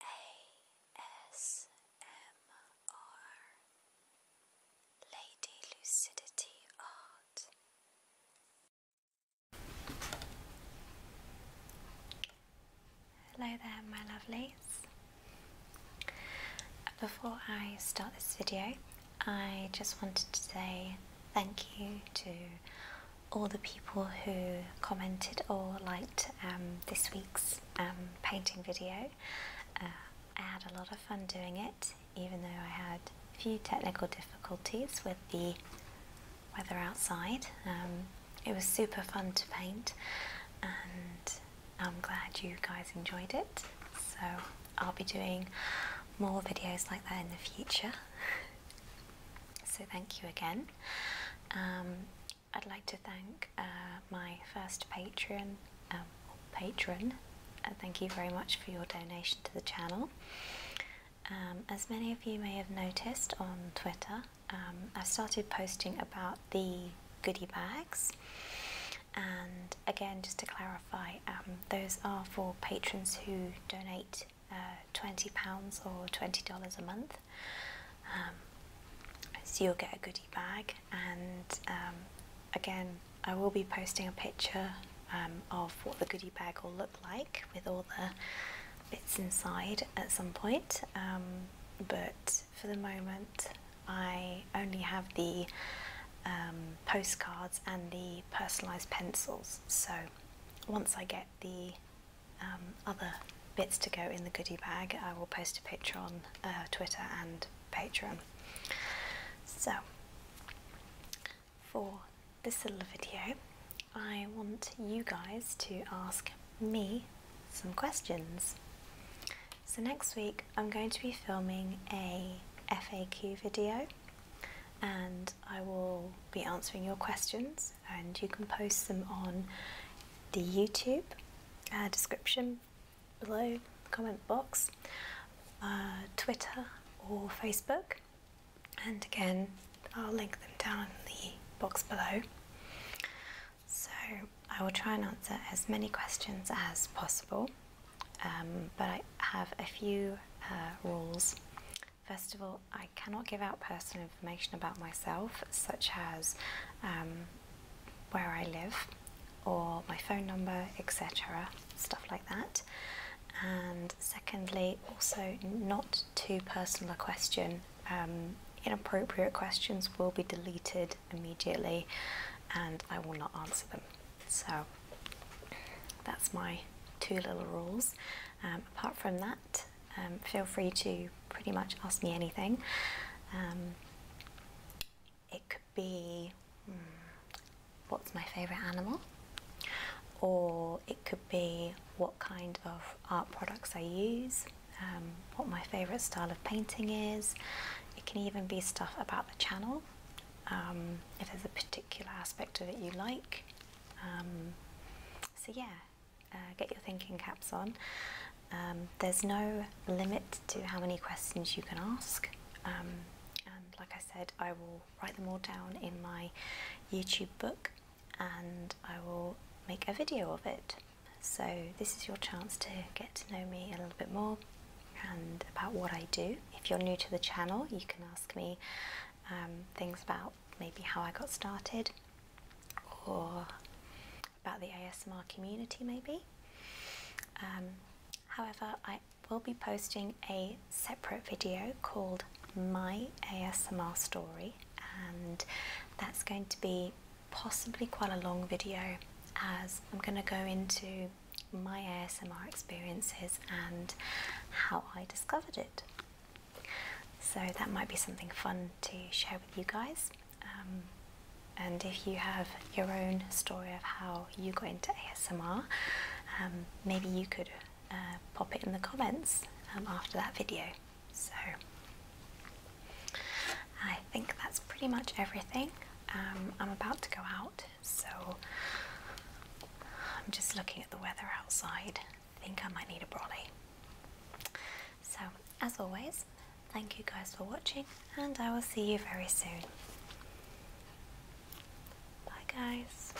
ASMR Lady Lucidity Art. Hello there, my lovelies. Before I start this video, I just wanted to say thank you to all the people who commented or liked um, this week's um, painting video. Uh, I had a lot of fun doing it, even though I had a few technical difficulties with the weather outside. Um, it was super fun to paint, and I'm glad you guys enjoyed it. So I'll be doing more videos like that in the future. So thank you again. Um, I'd like to thank uh, my first patron, uh, patron. Uh, thank you very much for your donation to the channel. Um, as many of you may have noticed on Twitter, um, I've started posting about the goodie bags. And again, just to clarify, those are for patrons who donate uh, £20 or $20 a month. Um, so you'll get a goodie bag, and um, again, I will be posting a picture um, of what the goodie bag will look like with all the bits inside at some point. but for the moment, I only have the postcards and the personalised pencils. So once I get the um, other bits to go in the goodie bag, I will post a picture on uh, Twitter and Patreon. So, for this little video, I want you guys to ask me some questions. So, next week I'm going to be filming a FAQ video and I will be answering your questions. And you can post them on the YouTube uh, description below, comment box, uh, Twitter, or Facebook. And again, I'll link them down in the box below. So I will try and answer as many questions as possible. Um, but I have a few uh, rules. First of all, I cannot give out personal information about myself, such as um, where I live or my phone number, etc., stuff like that. And secondly, also not too personal a question. Um, inappropriate questions will be deleted immediately and I will not answer them. So that's my two little rules. Um, apart from that, um, feel free to pretty much ask me anything. Um, it could be hmm, what's my favourite animal, or it could be what kind of art products I use, what my favourite style of painting is. It can even be stuff about the channel. Um, if there's a particular aspect of it you like. Um, so, yeah, uh, get your thinking caps on. Um, there's no limit to how many questions you can ask. and like I said, I will write them all down in my YouTube book and I will make a video of it. So, this is your chance to get to know me a little bit more and about what I do. If you're new to the channel, you can ask me um, things about maybe how I got started or about the ASMR community, maybe. Um, however, I will be posting a separate video called My ASMR Story, and that's going to be possibly quite a long video as I'm going to go into my ASMR experiences and how I discovered it. So that might be something fun to share with you guys. Um, and if you have your own story of how you got into ASMR, um, maybe you could uh, pop it in the comments um, after that video. So I think that's pretty much everything. Um, I'm about to go out, so I'm just looking at the weather outside. I think I might need a brolly. So, as always, thank you guys for watching, and I will see you very soon. Bye, guys.